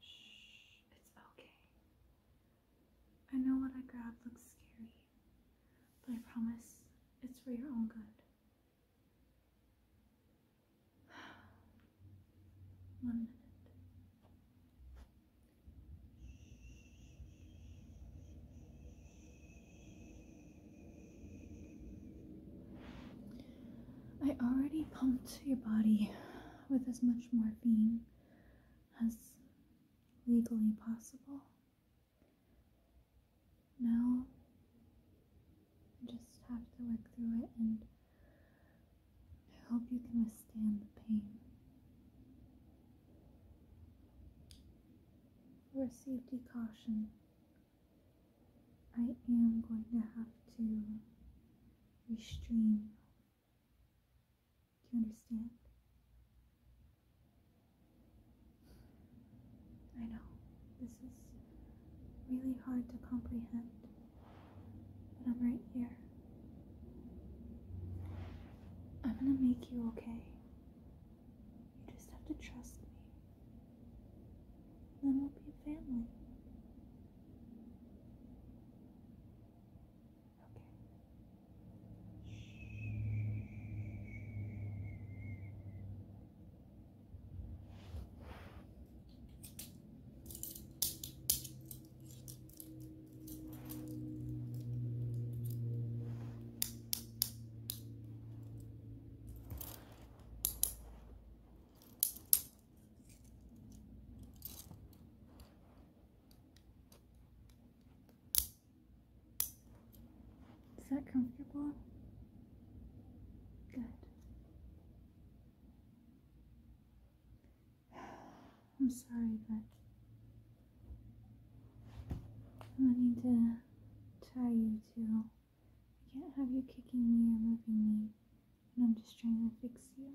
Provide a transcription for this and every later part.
Shh, it's okay. I know what I grabbed looks scary, but I promise it's for your own good. One minute. I already pumped your body with as much morphine as legally possible. Now I just have to work through it and I hope you can withstand the pain. For safety caution, I am going to have to restrain. Do understand? I know this is really hard to comprehend. But I'm right here. I'm gonna make you okay. You just have to trust me. Then we'll be a family. Okay. Is that comfortable? Good. I'm sorry, but i need to tie you to. I can't have you kicking me or moving me, and I'm just trying to fix you.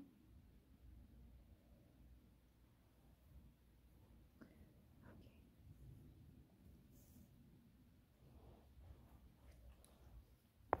Okay.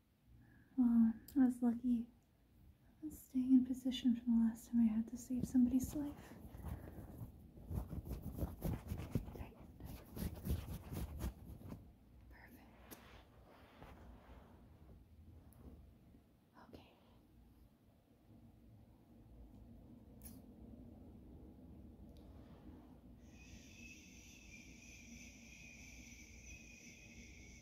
Well, um, I was lucky. I was staying in position from the last time I had to save somebody's life. Perfect. Okay.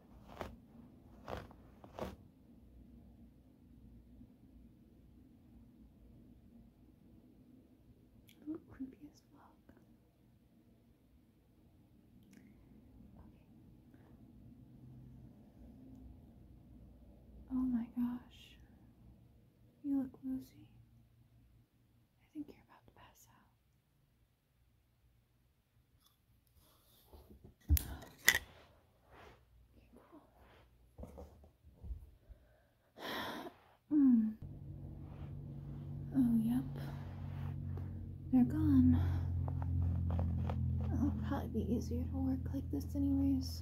I look creepy as fuck. Okay. Oh my gosh. You look woozy. I think you're about to pass out. Oh, yep. They're gone. It'll probably be easier to work like this, anyways.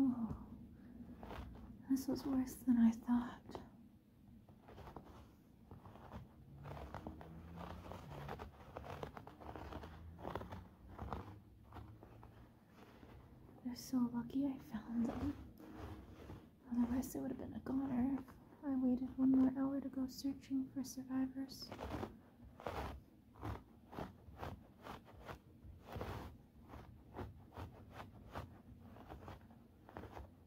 Oh, this was worse than I thought. They're so lucky I found them. Otherwise, it would have been a goner. I waited one more hour to go searching for survivors.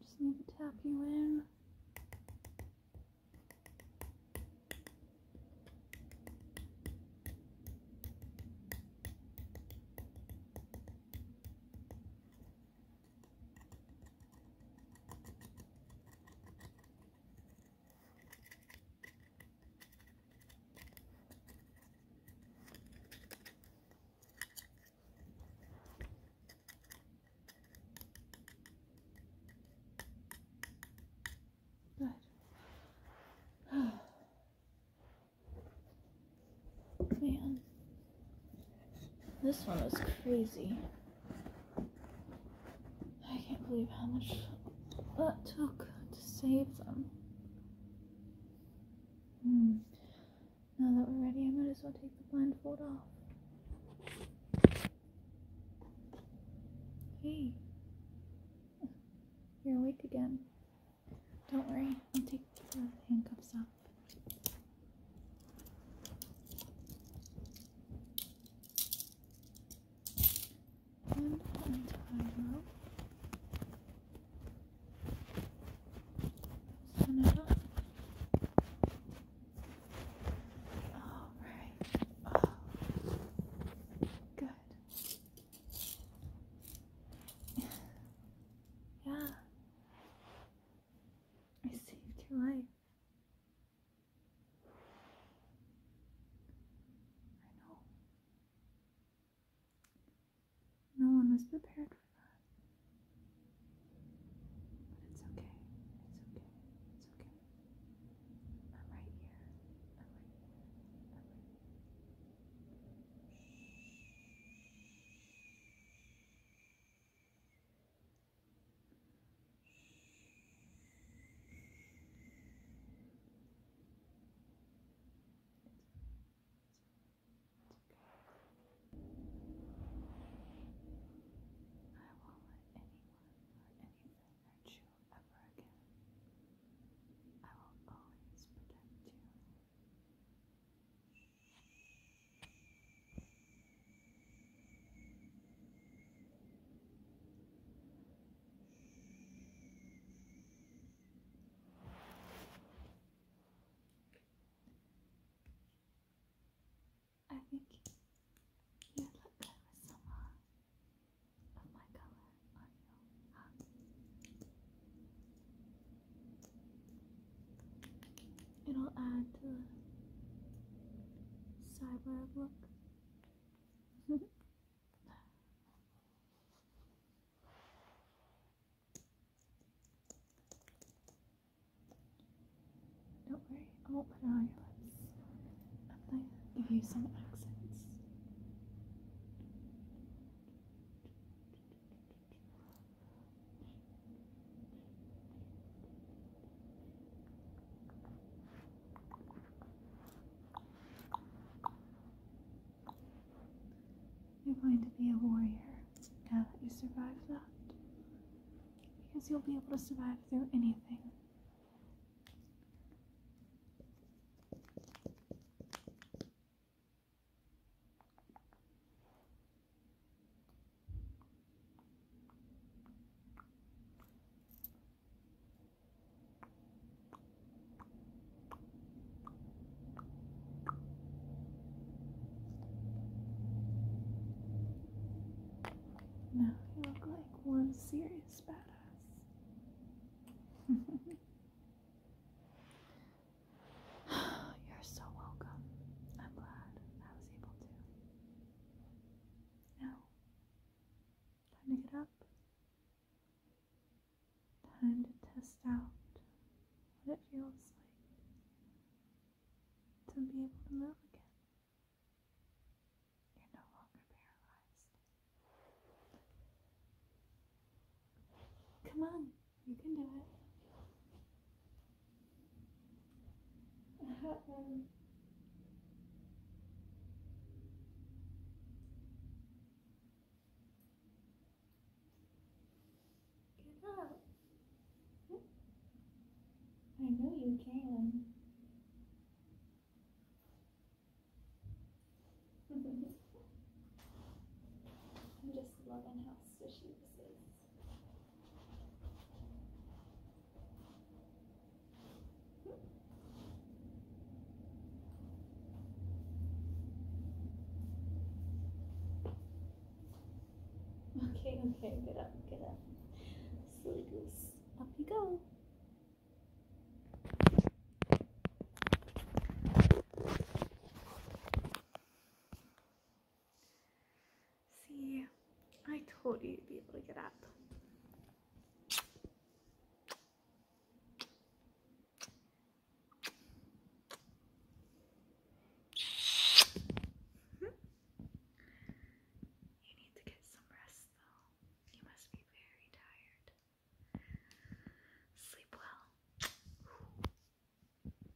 just need to tap you in. Man, this one was crazy. I can't believe how much that took to save them. Hmm. Now that we're ready, I might as well take the blindfold off. Hey. You're awake again. Don't worry, I'll take the handcuffs off. All right. Good. yeah. I saved your life. I know. No one was prepared for that. But it's okay. It's okay. It's okay. I'm right here. I will let anyone or anything hurt you ever again. I will always protect you. I think you look good some uh, of my color It'll add to the cyber look. Don't worry, I won't put it on your lips. I'm give you some accents. You're going to be a warrior now that you survived that. Because you'll be able to survive through anything. Now you look like one serious badass. You're so welcome. I'm glad I was able to. Now, time to get up. Time to test out what it feels like to be able to move again. You're no longer paralyzed. Come on, you can do it get up. I know you can. I'm just loving how swishy this is. Okay, okay, get up, get up. Silly goose, up you go. See, I told you you'd be able to get up. You need to get some rest, though. You must be very tired. Sleep well.